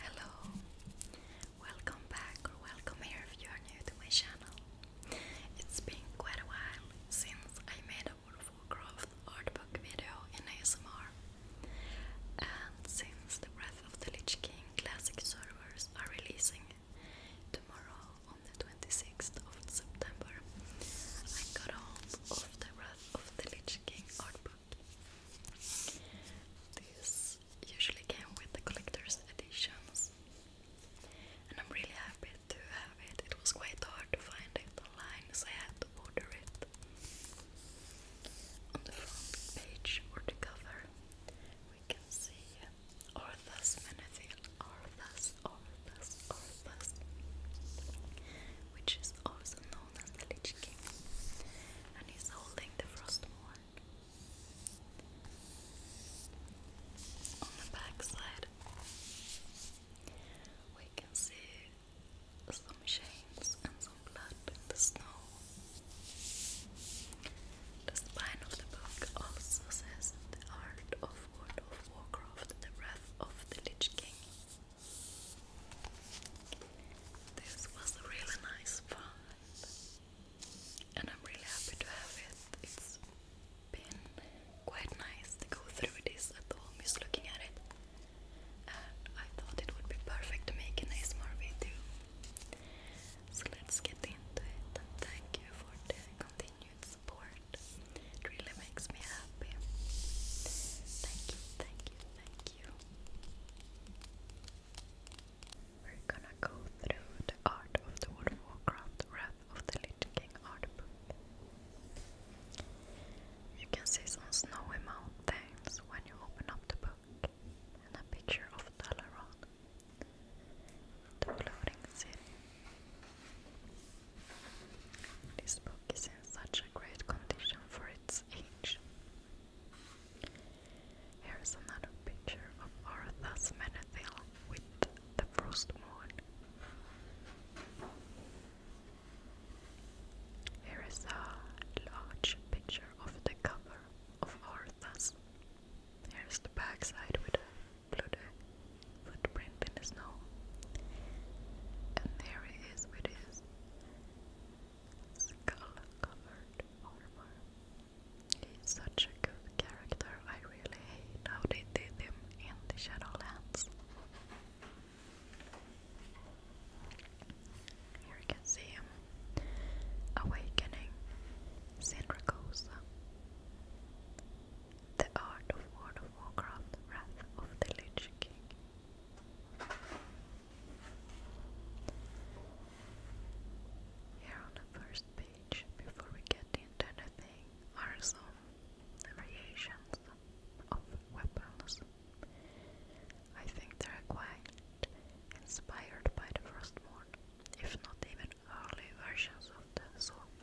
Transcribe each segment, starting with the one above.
Hello, welcome back or welcome here if you are new to my channel. It's been quite a while since I made a World of video in ASMR, and since the Breath of the Lich King classic servers are releasing tomorrow on the 26th of September, I got hold of the Breath of the Lich King art these usually came with the collector's editions, and I'm really happy to have it. It was quite hard to find it online, so I had to order it. On the front page or the cover, we can see Orthas Menethil, Orthas, Orthas, Orthas, which is also known and he's holding the Frostmourne. On the backside, we can see some chains and some blood in the snow. The spine of the book also says the art of World of Warcraft, the wrath of the Lich King. This was a really nice vibe, and I'm really happy to have it. It's been quite nice to go through this at home, just looking at it. And I thought it would be perfect to make an ASMR video. So let's get into it, thank you for the continued support. It really makes me happy. Thank you, thank you, thank we're gonna go through the Art of the World of Warcraft Wrath of the Lich King art book. You can see some snowy mountains when you open up the book, and a picture of Dalaran, the floating city. This book is in such a great condition for its his Here is another picture of Arthus Smenethil with the frost moon. Here is a large picture of the cover of Arthas. Here's the backside with a bloody footprint in the snow. And there he with his skull-covered armor. He's such a good character, I really hate how they did him in the Shadowlands. Here you can see him awakening Syndracosa. The Art of World of Warcraft, Wrath of the Lich King. Here on the first page, before we get into anything, are some variations of weapons. I think they are quite inspired by the Frostborn, if not even early versions of the sword.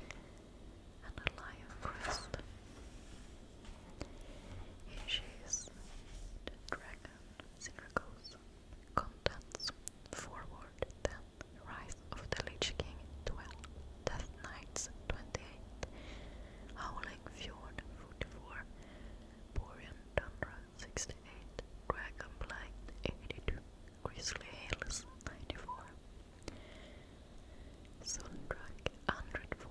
And a lion crest. Here she is, the dragon singer goes. forward, then Rise of the Lich King 12, Death Knights 28, Howling Fjord 44, Borean Tundra 68, Dragonblight 82, Grizzly Hills 94, Sundrak 104,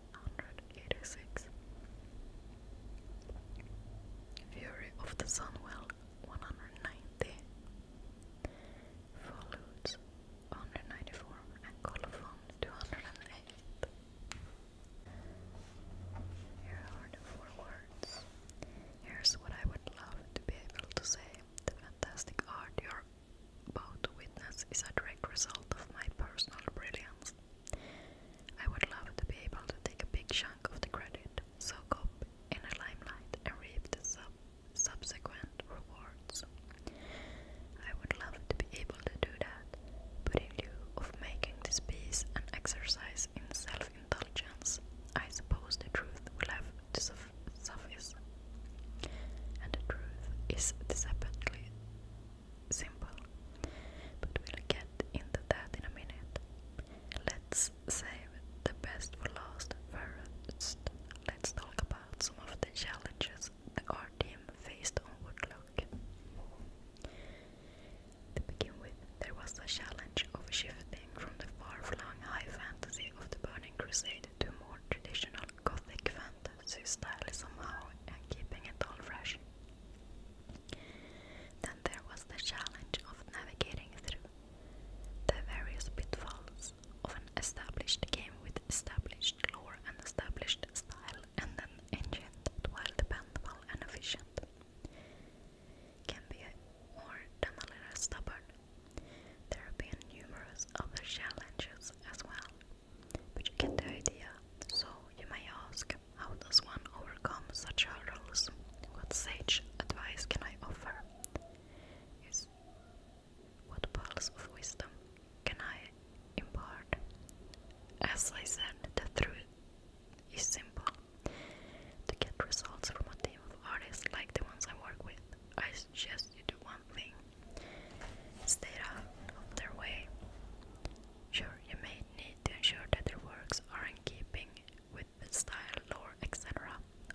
186 Fury of the Sunwell 190 Follows 194 and Colophon 208 Here are the four words. Here's what I would love to be able to say. The fantastic art you're about to witness is a direct result of my personal brilliance. I would love to be able to take a big chunk of the credit, soak up in the limelight, and reap the sub subsequent rewards. I would love to be able to do that, but in lieu of making this piece an exercise in self intelligence I suppose the truth will have to suffice. And the truth is deceptively simple. But we'll get into that in a minute. Let's save the best for last. First, let's talk about some of the challenges the art team faced on Woodlock. To begin with, there was the challenge of shifting from the far-flung high fantasy of the Burning Crusade to more traditional gothic fantasy style somehow and keeping it all fresh. Then there was the challenge of navigating through the various pitfalls of an established game with established lore and established style and an engine that while dependable and efficient can be more demoliner stubborn. There have been numerous other challenges as well, but you get the idea. So you may ask, how does one overcome such hurdles? What sage advice can I offer? Is what pearls of wisdom can I impart? As I said, the truth is simple. To get results from a team of artists like the ones I work with, I suggest you do one thing stay out of their way. Sure, you may need to ensure that your works are in keeping with the style, lore, etc.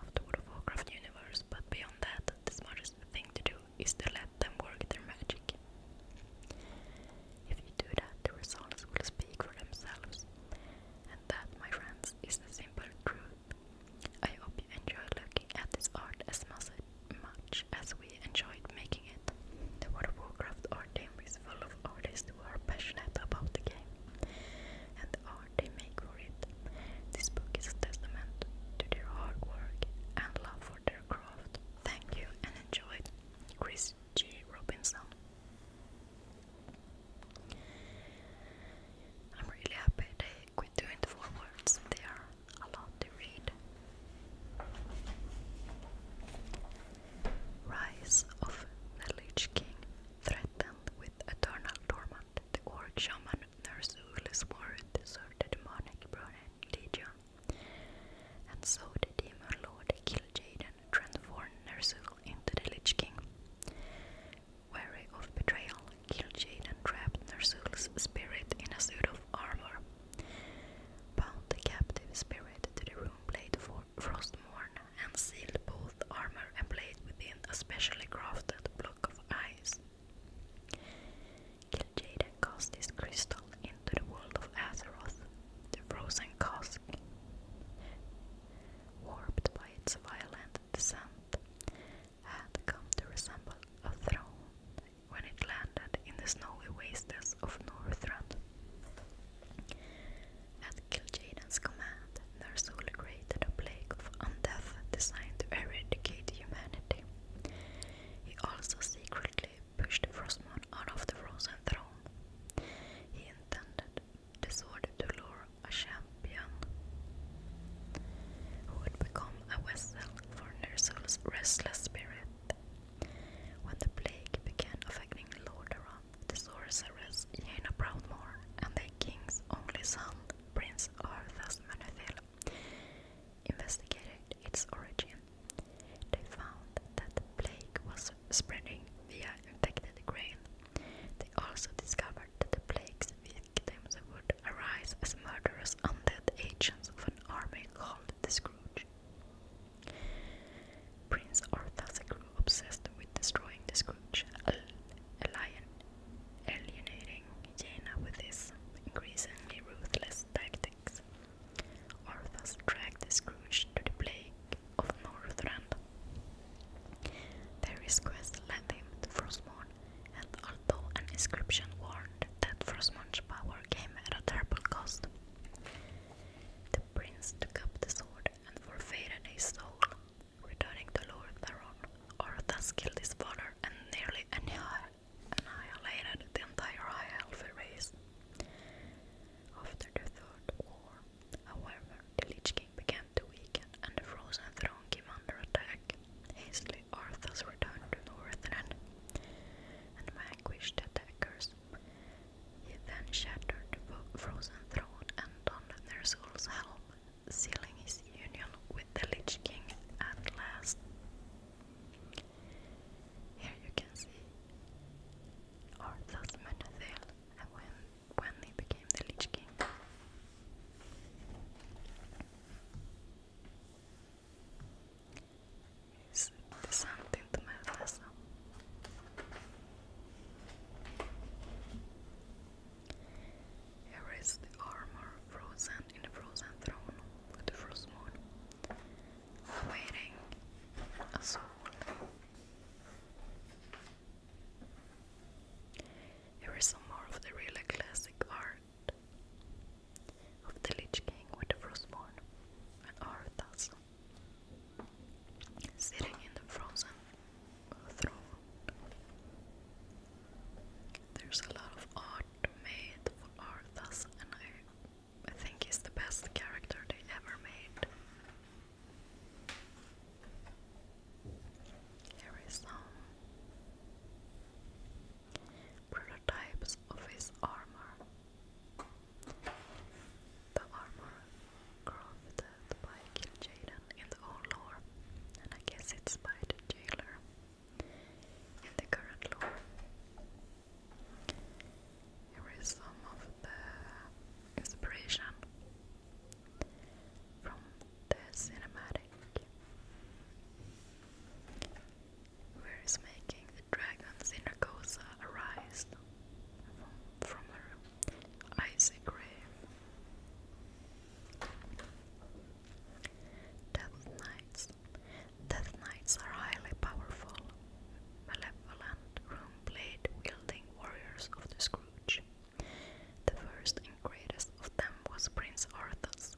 of the World of universe, but beyond that, the smartest thing to do is to let them work their magic. If you do that, the results will speak for themselves. And that, my friends, is the simple truth. I hope you enjoy looking at this art as much as we we enjoyed making it. The World of Warcraft art team is full of artists who are passionate about the game and the they make for it. This book is a testament to their hard work and love for their craft. Thank you and enjoy Chris G. Robinson. I'm really happy they quit doing the four words. are a lot to read. Rise of the Lich King threatened with eternal torment. The orc shaman Nurse Ulu swore to serve demonic Brunel Legion. And so the demon lord killed Jaden, transformed Nersul into the Lich King. Wary of betrayal, Kiljaden trapped Nersul's spirit in a suit of armor Bound the captive spirit to the room blade for frost morn, and sealed both armor and blade within a specially crafted block of ice. Kiljada cast this crystal into the world of Azeroth, the frozen cask. Warped by its violent descent, had come to resemble a throne when it landed in the snowy wastes of Northrend. At Kil'jaden's command, Ner'zhul created a plague of undeath designed to eradicate humanity. He also secretly pushed Frostmourne out of the Frozen Throne. He intended the sword to lure a champion who would become a vessel for Ner'zhul's restless spirit when the plague began affecting Lordaeron, the sorceress Jaina Proudmore and the king's only son, Prince Arthas Manethil, investigated its origin. They found that the plague was spreading via infected grain. They also discovered that the plague's victims would arise as murderous undead agents of an army called the Scrooge. Prince Arthur grew obsessed with destroying the Scrooge, alien, alienating Jaina with his increasingly ruthless tactics. Arthur dragged Scrooge to the plague of Northrend. Various quests led him to Frostmourne, and although an inscription warned that Frostmourne's power came at a terrible cost, the prince took up the sword and for forfeited his soul, returning to Lord Theron. Arthas killed his father and nearly annihilated the entire High Elf race. After the Third War, however, the Lich King began to weaken and the Frozen Throne came under attack. Hastily, Arthur's returned to the Northrend and vanquished the attackers. He then shattered the frozen throne and donned Ner'zhul's helm, sealing his union with the Lich King at last. Here you can see Arthas Menethil and when, when he became the Lich King. Is this something to manifest Here is the armor frozen in the frozen throne with the frozen moon, awaiting a Here is some more of the really classic art of the Lich King with the Frostborn and are thus sitting in the frozen throne. There's a lot of art made for Arthas and I I think he's the best character they ever made. Here is some prototypes of his armor. The armor crafted by Kil'jaeden in the old lore, and I guess it's by the jailer in the current lore. Here is some of the inspiration from the cinematic where is making the dragons in Narcosa arise from, from her icy grave. Death Knights. Death Knights are highly powerful, malevolent, room-blade wielding warriors of the Scrooge. The first and greatest of them was Prince Arthas.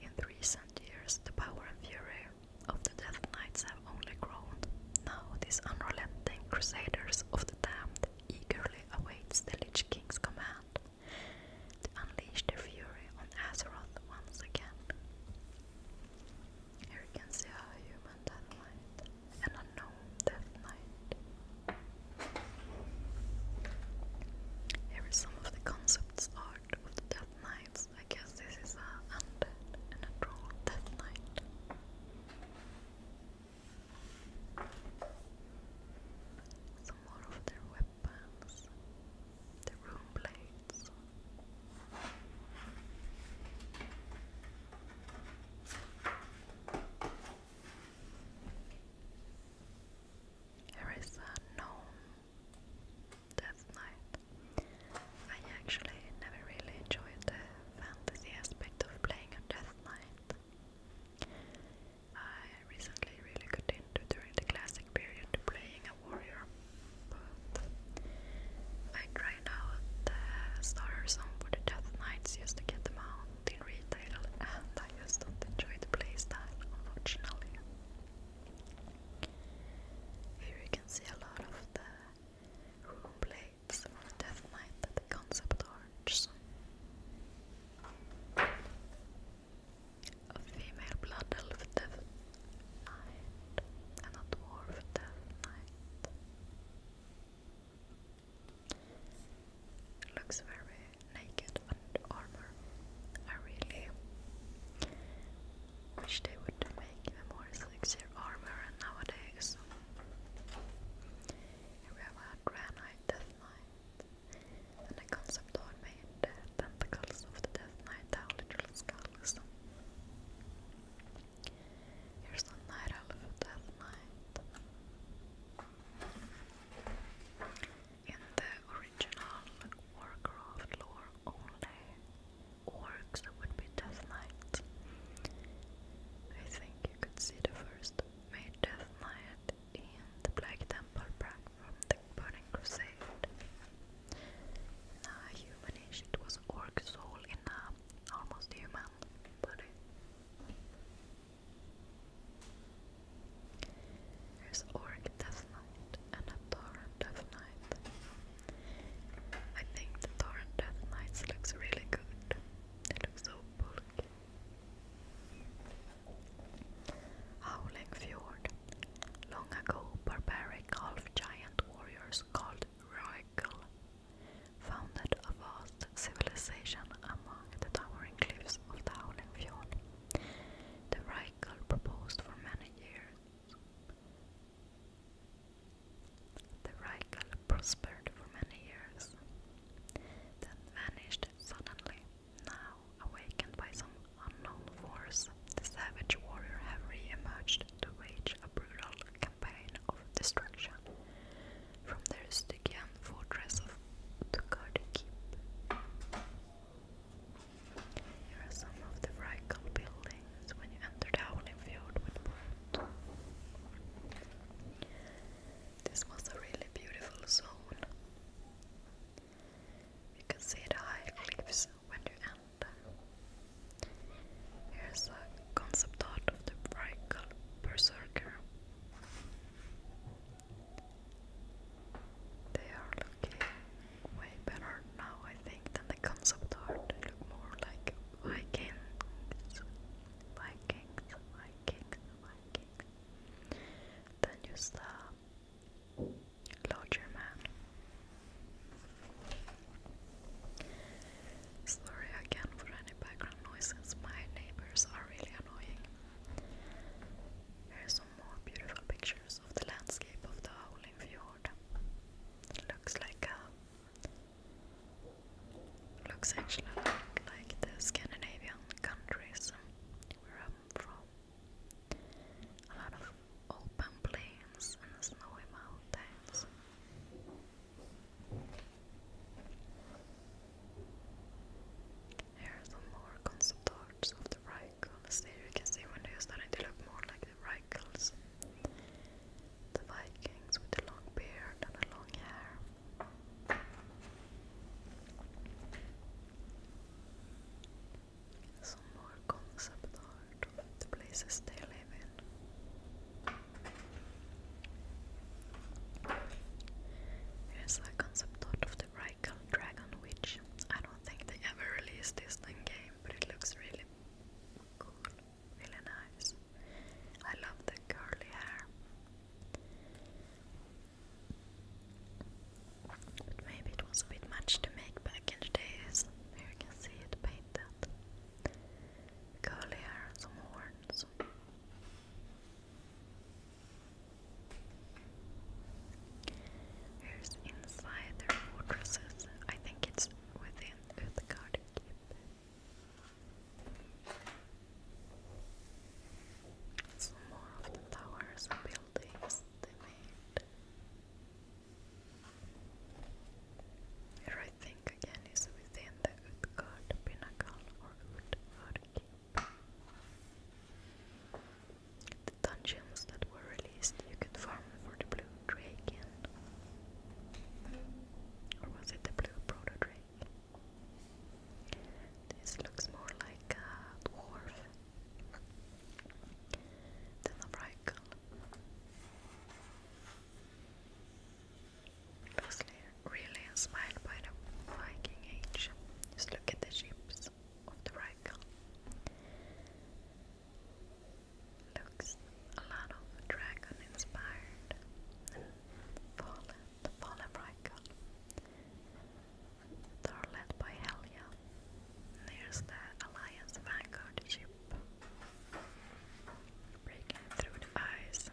In recent years, the power and fury of the Death Knights have only grown. Now these unrelenting crusaders of the damned eagerly awaits the Lich King's command to unleash their fury on Azeroth once again. Here you can see a human Death Knight and a gnome Death Knight. Here is some of the concepts art of the Death Knight. I guess this is a undead and a troll death knight. Some more of their weapons, the rune blades. Here is a gnome Death Knight. I actually never really enjoyed the fantasy aspect of playing a Death Knight. I recently really got into during the classic period playing a warrior, but I try now the starter zone for the Death Knights used to get them out in retail, and I just don't enjoy the playstyle, unfortunately. Here you can see a lot of the room plates for Death Knight the concept arts. A female blood elf Death Knight and a dwarf Death Knight. Looks very naked and armor. I really Wish they would make even more elixir armor nowadays. Here we have a granite death knight, and a concept art the tentacles of the death knight have little skulls. Here's a night elf death knight. In the original Warcraft lore, only works would be Death Knight. I think you could see the first made Death Knight in the Black Temple back from the Burning Crusade. In humanish, it was orc soul in a almost human body. There's Orc Death Knight and a Torrent Death Knight. I think the Torrent Death Knight looks really good. It looks so bulky. Howling Fjord. Long ago, barbaric half-giant warriors called Royal founded a vast civilization among the towering cliffs of the Howling Fjord. The Reichel proposed for many years the Reichel prospered for many years, then vanished suddenly. Now, awakened by some unknown force, the savage warrior have re-emerged to wage a brutal campaign of destruction from the Stygian fortress of Tukardi Keep. Here are some of the Reichel buildings when you enter the Howlingfjord with boat. This was a really beautiful zone. You can see the high cliffs when you enter. Here's a concept art of the Reichel Berserker. They are looking way better now, I think, than the concept art. They look more like Vikings, Vikings, Vikings, Vikings, than just a larger man. Sorry again for any background noises, my neighbors are really annoying. Here some more beautiful pictures of the landscape of the Howling Fjord. looks like a looks actually like the Scandinavian countries where I'm from. A lot of open plains and snowy mountains. Here are some more concept arts of the Vikings with the long beard and the long hair. Some more concept art of the places they live in. Here's a concept art of the Rykles like Dragon Witch. I don't think they ever released this in game, but it looks really cool, really nice. I love the curly hair. But maybe it was a bit much to make back in the days. Here you can see it painted. Curly hair, some horns. Who's inside their fortresses? I think it's within Uthgard Keep. Some more of the towers and buildings they made. Here I think again is within the Utgard Pinnacle or Utgard Keep. The dungeons that were released you can farm for the blue dragon. Or was it the blue proto drake? This looks more like a dwarf than a brackle. Mostly really inspired by the Viking Age. Just look at the ships edges of the rifle. Looks a lot of dragon inspired and fallen, the fallen rifle. They're led by Helia. There's the Alliance Vanguard ship. Breaking through the eyes.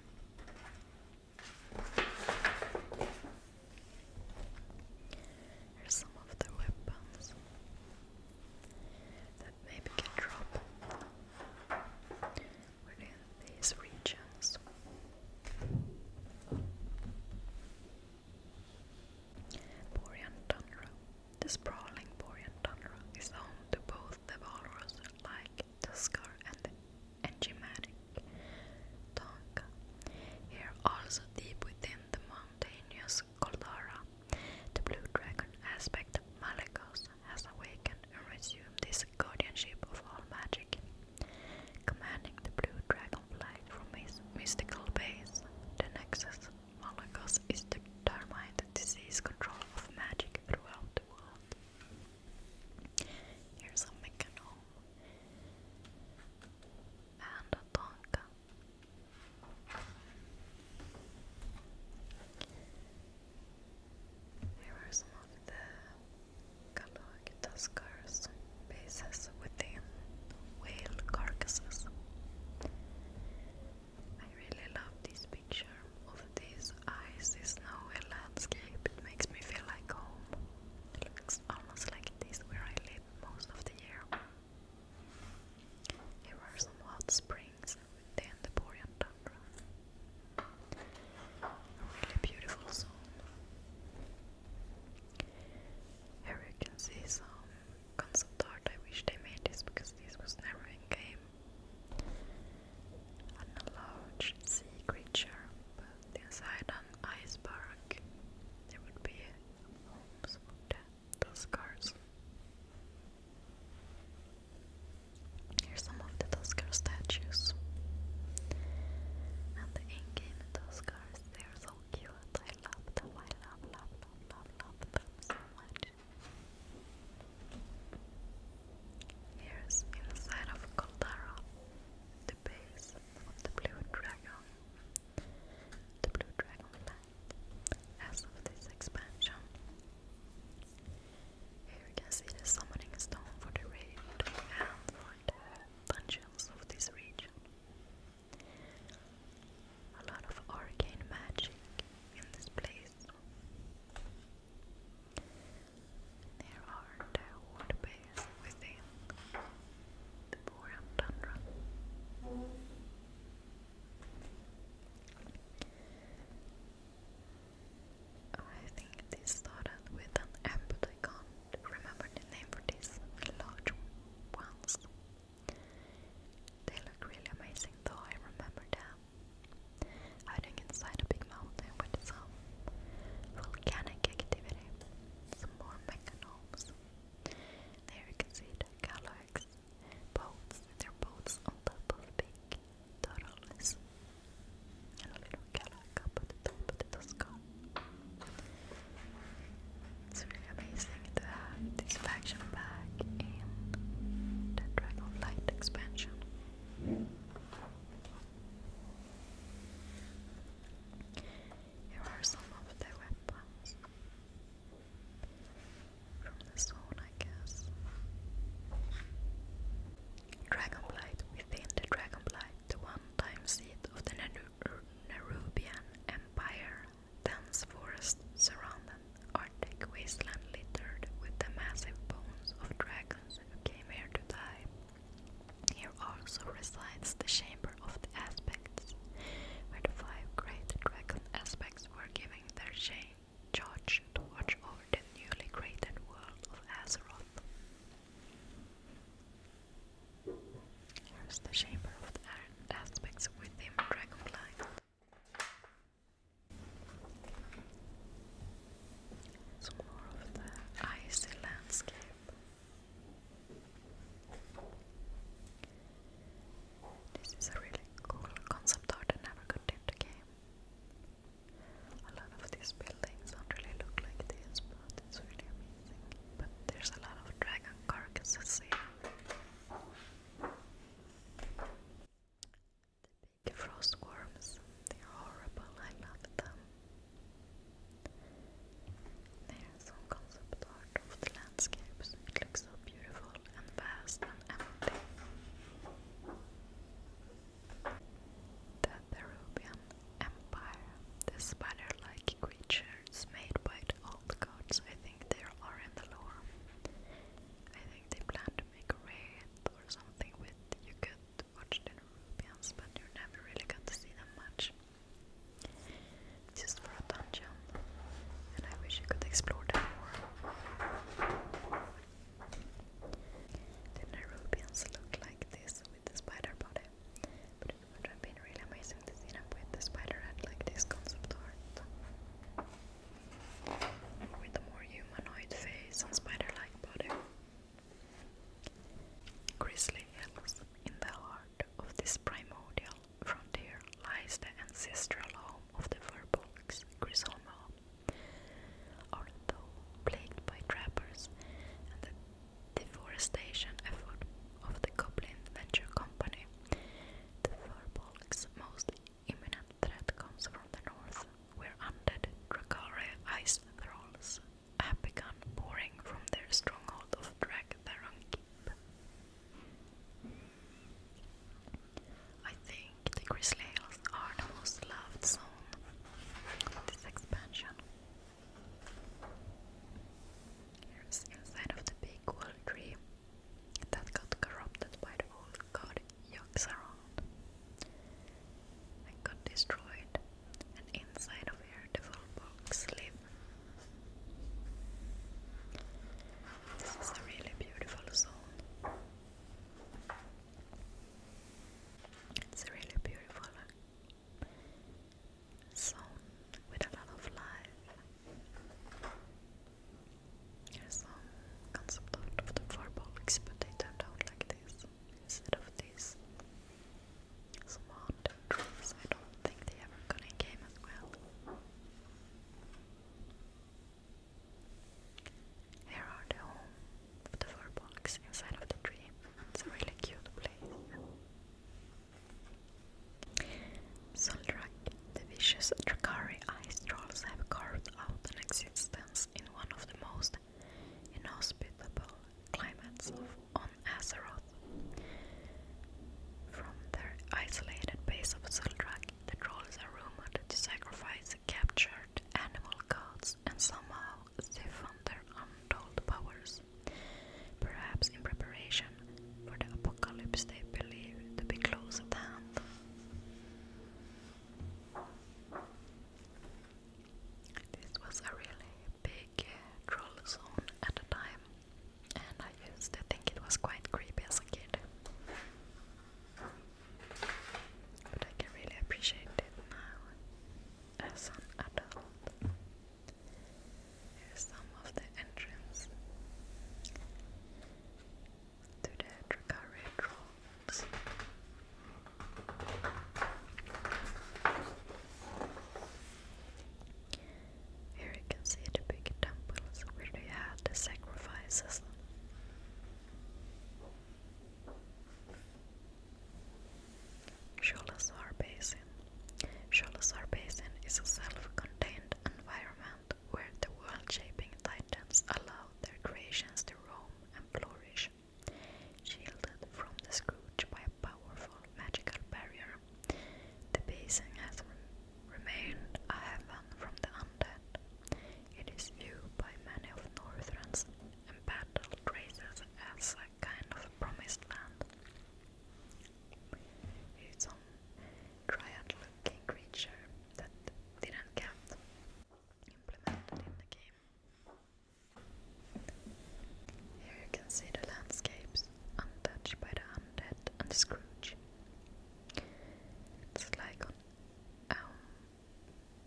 Here's some of the weapons that maybe can drop within these regions. Borean tundra. The sprawling Borean tundra is home to both the walrus like Tuskar and the enigmatic Tonka. Here also deep within the mountainous as The blue dragon aspect Malekos has awakened and resumed his guardianship of all magic. Commanding the blue dragon flight from his mystical base, the Nexus Malekos is determined to determine control of magic throughout the world. Here's a Mechanome and a Tonka. Here are some of the catalog tuskers bases within whale carcasses. I really love this picture of this icy snowy landscape. It makes me feel like home. It looks almost like this where I live most of the year. Here are some hot springs Then the Borean tundra. really beautiful zone. Here you can see some concept I wish they made this because this was never in game. An large sea creature, but inside an iceberg there would be homes the scars. Here's some of the Tuskar statues. And the in-game they are so cute. I love them. I love, love, love, love, them so much. Here's inside of Koldara, the base of the blue dragon the Blue Dragon Pack as of this expansion. Here you can see the summoning stone for the raid and for the dungeons of this region. A lot of arcane magic in this place. There are the wood within the I think this started with an app, remember the name for these large ones. They look really amazing though, I remember them. Hiding inside a big mountain with some volcanic activity, some more mechanomes. There you can see the Galax boats. They're boats on top of big turtles. And a little Galax up at the top of the skull. It's really amazing to have this faction back in the Dragonflight expansion. Here are some of their weapons. From the zone, I guess. Dragonblight. Within the Dragonblight, the one seat of the Nerubian Empire, dense forest surrounding Arctic wasteland littered with the massive bones of dragons who came here to die also resides the Chamber of the Aspects, where the five great dragon aspects were giving their shade charge to watch over the newly created world of Azeroth. Here's the Chamber of the Aspects within Dragonlight. Some more of the icy landscape. This is a really cool concept art I never got into game. A lot of these buildings don't really look like this, but it's really amazing. But there's a lot of dragon carcasses here. The big frost worms, they're horrible, I love them. There's some concept art of the landscapes. It looks so beautiful and vast and empty. The Peruvian Empire. This spider-like creature made by the old gods. I think they are in the lore. I think they plan to make a raid or something with you could watch the Peruvians, but you never really got to see them much just for a dungeon, and I wish you could explore them more. The Nairobians look like this with the spider body, but it would have been really amazing to see them with the spider head like this concept art. with a more humanoid face and spider like body. Grizzly helps in the heart part of this primordial frontier lies the ancestral home of the Verbolgs, Grisolmo, although plagued by trappers and the deforestation effort of the Goblin Venture Company. The Verbolgs' most imminent threat comes from the north, where undead Dracari ice thralls have begun pouring from their stronghold of Dragtharon Keep. I think the Grizzly Hills are the most loved zone of this expansion. Here's inside of the big wall tree that got corrupted by the old god Yogg-Saron and got destroyed and inside of your the box live. This is a really beautiful zone. It's a really beautiful zone with a lot of life. There's some concept of the four box, but they turned out like this instead of this. Smart trees, I don't think they ever got in game as well. Here are the home of inside of the tree. It's a really cute place. Soldrak, the vicious Drakari ice trolls have carved out an existence in one of the most inhospitable climates of on Azeroth. From their isolated base of Zul'Drak, the trolls are rumored to sacrifice captured animal gods and somehow they found their untold powers, perhaps in preparation for the apocalypse they believe to be close at hand. This was a really big uh, troll zone at a time, and I used to think it was quite creepy as a kid. But I can really appreciate it now as an adult. Here's some of the entrance to the Dracari Trolls. Here you can see the big temples where they had the sacrifices. Sholazar Basin. Sholazar Basin is a self-contained environment where the world-shaping titans allow their creations to roam and flourish, shielded from the Scrooge by a powerful magical barrier the basin has remained a haven from the undead. It is viewed by many of Northrans and battled races as a kind of promised land. It's some triad-looking creature that didn't get implemented in the game. Here you can see the landscapes untouched by the undead and Scrooge. It's like on um,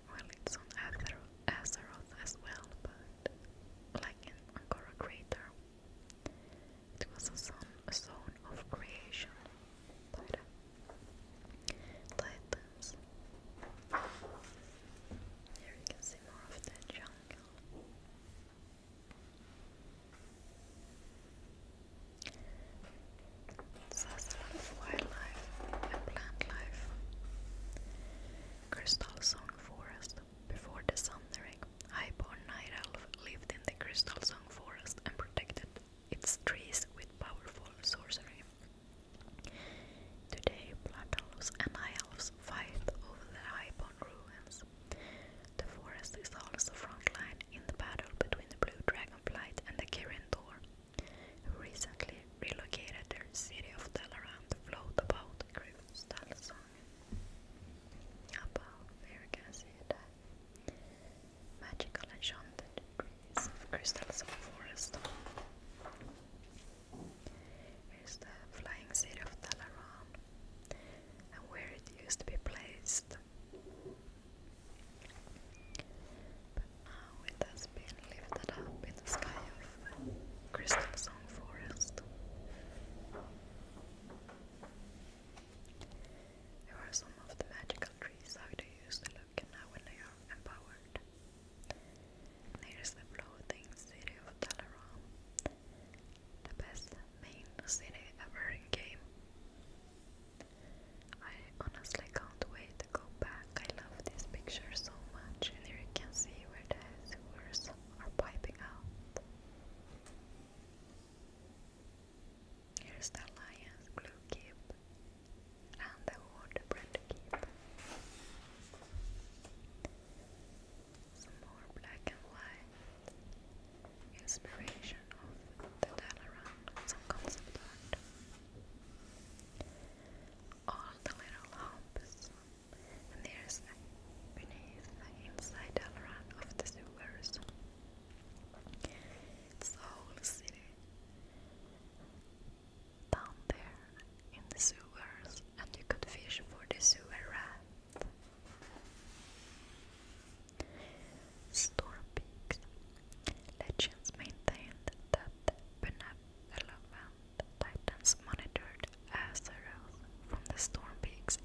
well, it's on Azeroth, as well, but like in Angora Crater. It was a zone, of creation Here you can see more of the jungle. That's sort of wildlife and plant life. Crystal Song Forest. Before the Sundering, Highborn Night Elf lived in the Crystal Song Forest and protected its trees with powerful sorcery. Today, blood and high elves fight over the Highborn ruins. The forest is also frontline in the battle between the Blue Dragonflight and the Kirin Tor, who recently relocated their city of Dalaran to float about Kristallsong. Above, there you magical enchanted trees of Kristallsong Forest. Here's the flying city of Talaran and where it used to be placed. now it has been lifted up in the sky of Crystal Song Forest. There are some of the magical trees how they used to look and now when they are empowered. There's the floating city of Dalaran, the best main city ever in game. I honestly can't wait to go back. I love this picture so much, and here you can see where the sewers are piping out. Here's the Lion's Glue Keep and the Water Keep some more black and white inspiration of the Dalaran, some concept art. All the little humps, and there's beneath the inside Dalaran of the sewers. It's the whole city. Down there in the sewers and you could fish for the sewer rat. Storm Peaks. Legends maintained that benevolent titans monitored Azeroth from the storm peaks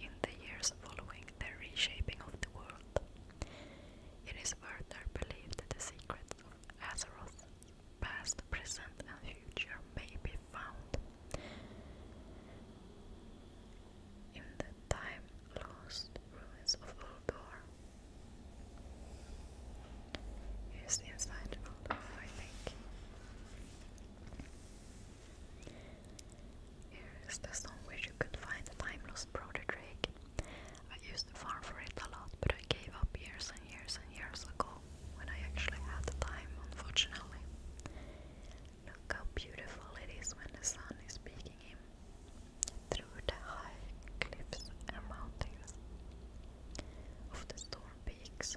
in, the years following the reshaping of the world. It is further believed the secrets of Azeroth past, present, and future may be found in the time lost ruins of Uldor. Yes, inside Uldor, I think. Here is the stone where you could find time lost brother Drake. I used to farm for it a lot, but I gave up years years and years ago when I actually had the time, unfortunately. Look how beautiful it is when the sun is peeking in through the high cliffs and mountains of the storm peaks.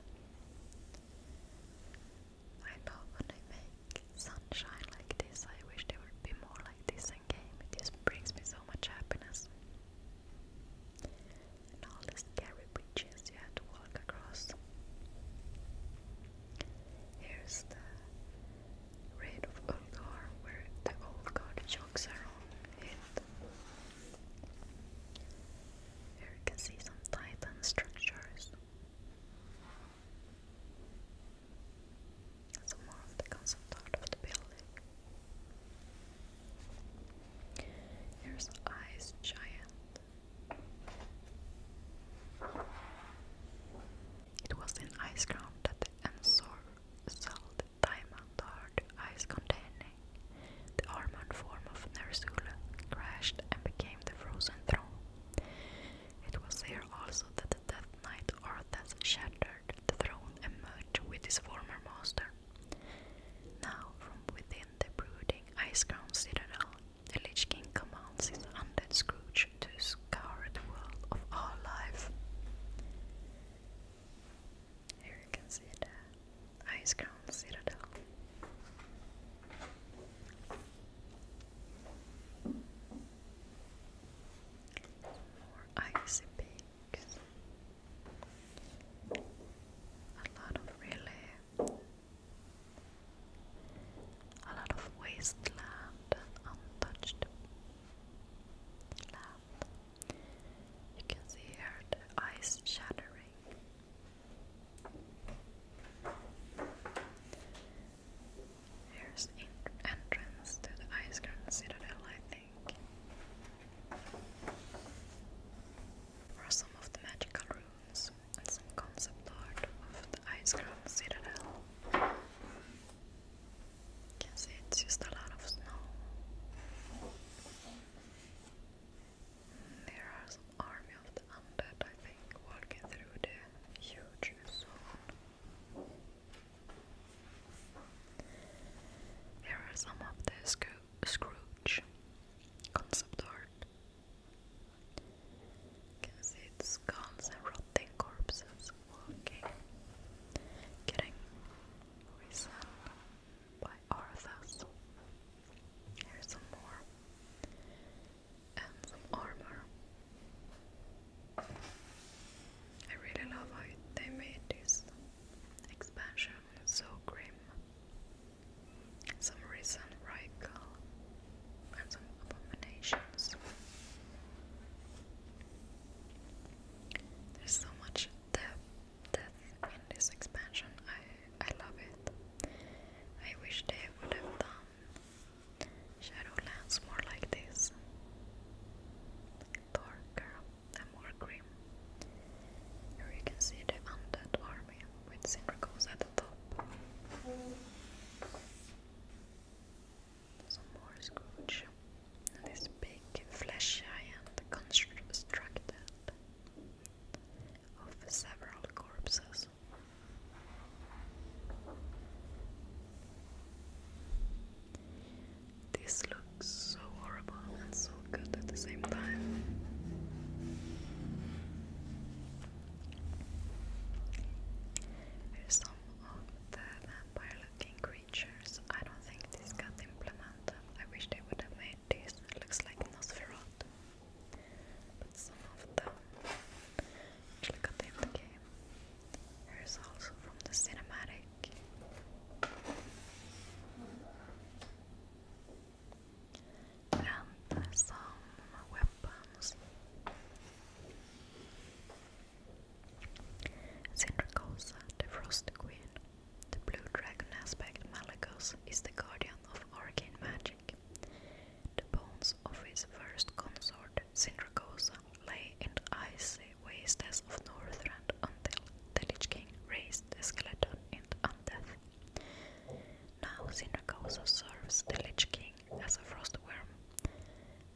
I love when they make sunshine like this. I wish there would be more like this in game. It just brings me so much happiness and all the scary bridges you had to walk across. Here's the raid of Ulgar, where the old guard jokes it. Here you can see some titan structures. Some more of the concept art of the building. Here's Eyes Giant. It was in Ice Ground that the Ensor sold the diamond hard ice containing the armored form of Nersula crashed and became the Frozen Throne. It was there also that the Death Knight Arthas shattered the throne and merged with his former master. Now, from within the brooding ice crown citadel, the Lich King commands his undead Scrooge to scour the world of our life. Here you can see the ice crown citadel. More icy peaks. A lot of really a lot of wasteland and untouched land. You can see here the ice shattering. Here's entrance to the Ice Grand Citadel, I think. Are some of the magical runes and some concept art of the Ice Crown Citadel. You can see it's just a lot of snow. There are some army of the undead, I think, walking through the huge zone. There are some of the screw Swatch concept art. can see skulls and rotting corpses walking, getting risen by Arthas. Here's some more, and some armor. I really love how they made this expansion so grim some reason Rykal and some abominations. There's so much death, death in this expansion. I I love it. I wish they would have done Shadowlands more like this. Darker and more grim. Here you can see the undead army with Syndracos at the top. Some more Scrooge. this big flesh giant constructed of several corpses. This looks so horrible and so good at the same time. Here's some of the vampire looking creatures. I don't think this got implemented. I wish they would have made this. looks like Nosferatu. But some of them actually got in the game. Here's also from the cinematic and some weapons. Syndracosa, the Frost Queen, the Blue Dragon aspect Malagos is the guardian of arcane magic. The bones of his first consort, Syndracosa, lay in the icy wastes of Northrend until the Lich King raised the skeleton into undeath. Now Sinra also serves the Lich King as a frost worm,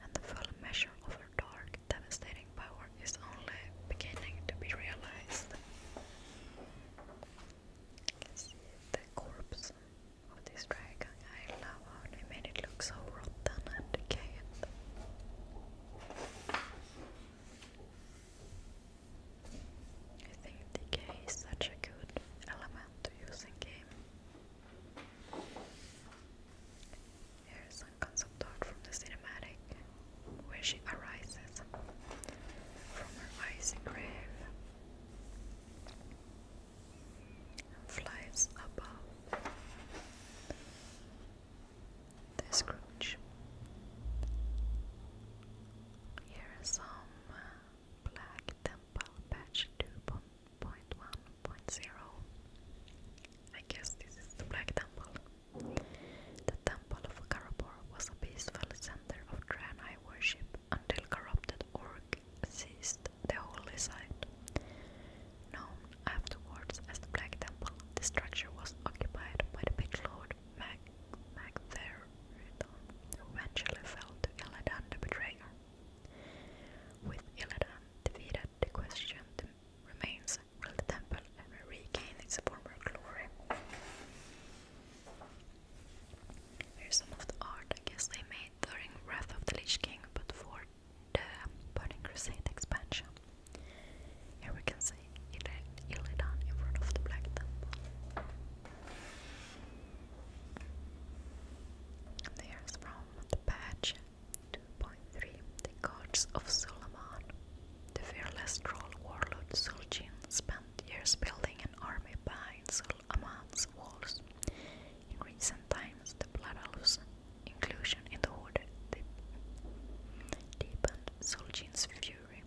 and the full measure of her dark, devastating power is only beginning to be realized. the corpse of this dragon. I love how they made it look so rotten and decayed. I think decay is such a good element to use in game. Here is some concept art from the cinematic where she arises from her icy grave flies above the Scrooge. Here some uh, Black Temple Patch 2.1.0. I guess this is the Black Temple. The Temple of Karabor was a peaceful center of Draenei worship until corrupted Orc seized the holy site. Known afterwards as the Black Temple, the structure was occupied by the big lord Lord Mac who eventually fell to Illidan the Betrayer. With Illidan defeated, the question remains, will the temple ever regain its former glory? Here's some of the art I guess they made during Wrath of the Lich King, but for the Burning Crusade expansion. Here we can see Illidan in front of the Black Temple. There's from the patch 2.3 The Gods of Suleiman. The fearless troll warlord Suljin spent years building an army behind Suleiman's walls. In recent times, the Bloodalus inclusion in the order deepened Suljin's fury.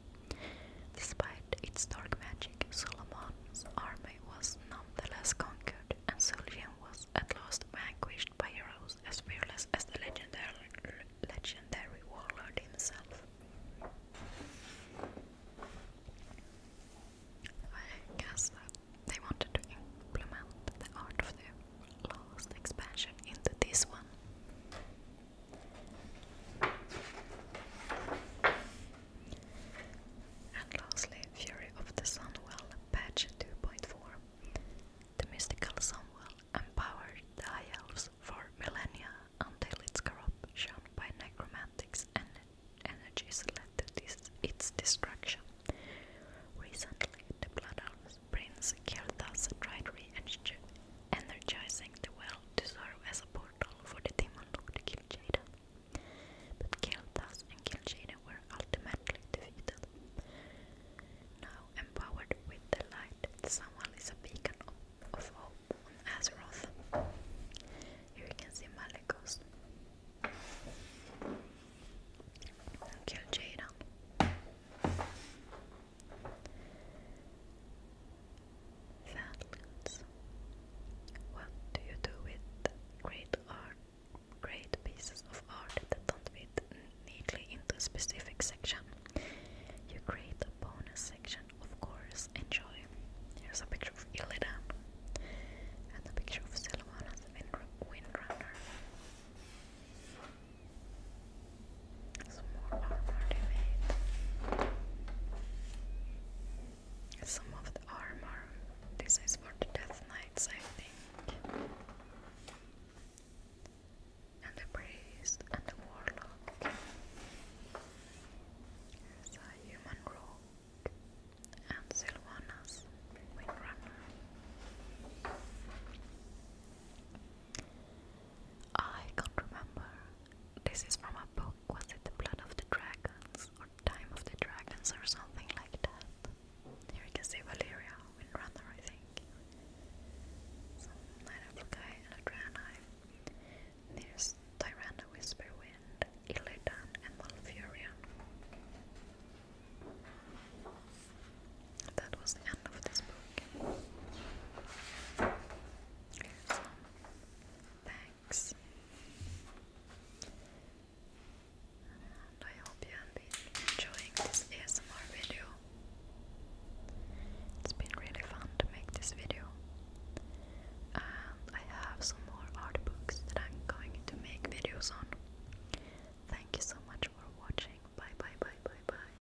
Despite its dark magic, Solomon's army was nonetheless conquered, and Suljan was at last vanquished by heroes as fearless as the legendary, legendary warlord himself. I guess they wanted to implement the art of the last expansion into this one. And lastly, Fury of the Sunwell, patch 2.4. The mystical Sunwell empowered the High Elves for millennia until its corruption by necromantics and energies led to its destruction. Recently, the Blood Elves Prince Kirthas tried to re energizing the well to serve as a portal for the demon lord Kill But Kiltas and Kill were ultimately defeated. Now empowered with the light, someone is of, hope on Azeroth. Here you can see Malekos. Kill Sadlands. What do you do with great art, great pieces of art that don't fit neatly into a specific section? You create a bonus section, of course. Enjoy. Here's a picture of Illidan and a picture of Sylvanas Windrunner. Some more armor they made. Some of the armor. This is for the Death Knights, I think. And the priest and the warlock. a human rogue and Sylvanas windrunner. I can't remember. This is from a book. Was it The Blood of the Dragons or Time of the Dragons or something like that? Here you can see Valeria Windrunner, I think. Some Night of the Guy and a Draenei. There's Tyranna Whisperwind, Illidan, and Malfurion that was the end of this book. thanks. And I hope you have enjoying this ASMR video. It's been really fun to make this video. And um, I have some more art books that I'm going to make videos on. Thank you so much for watching. Bye bye bye bye bye.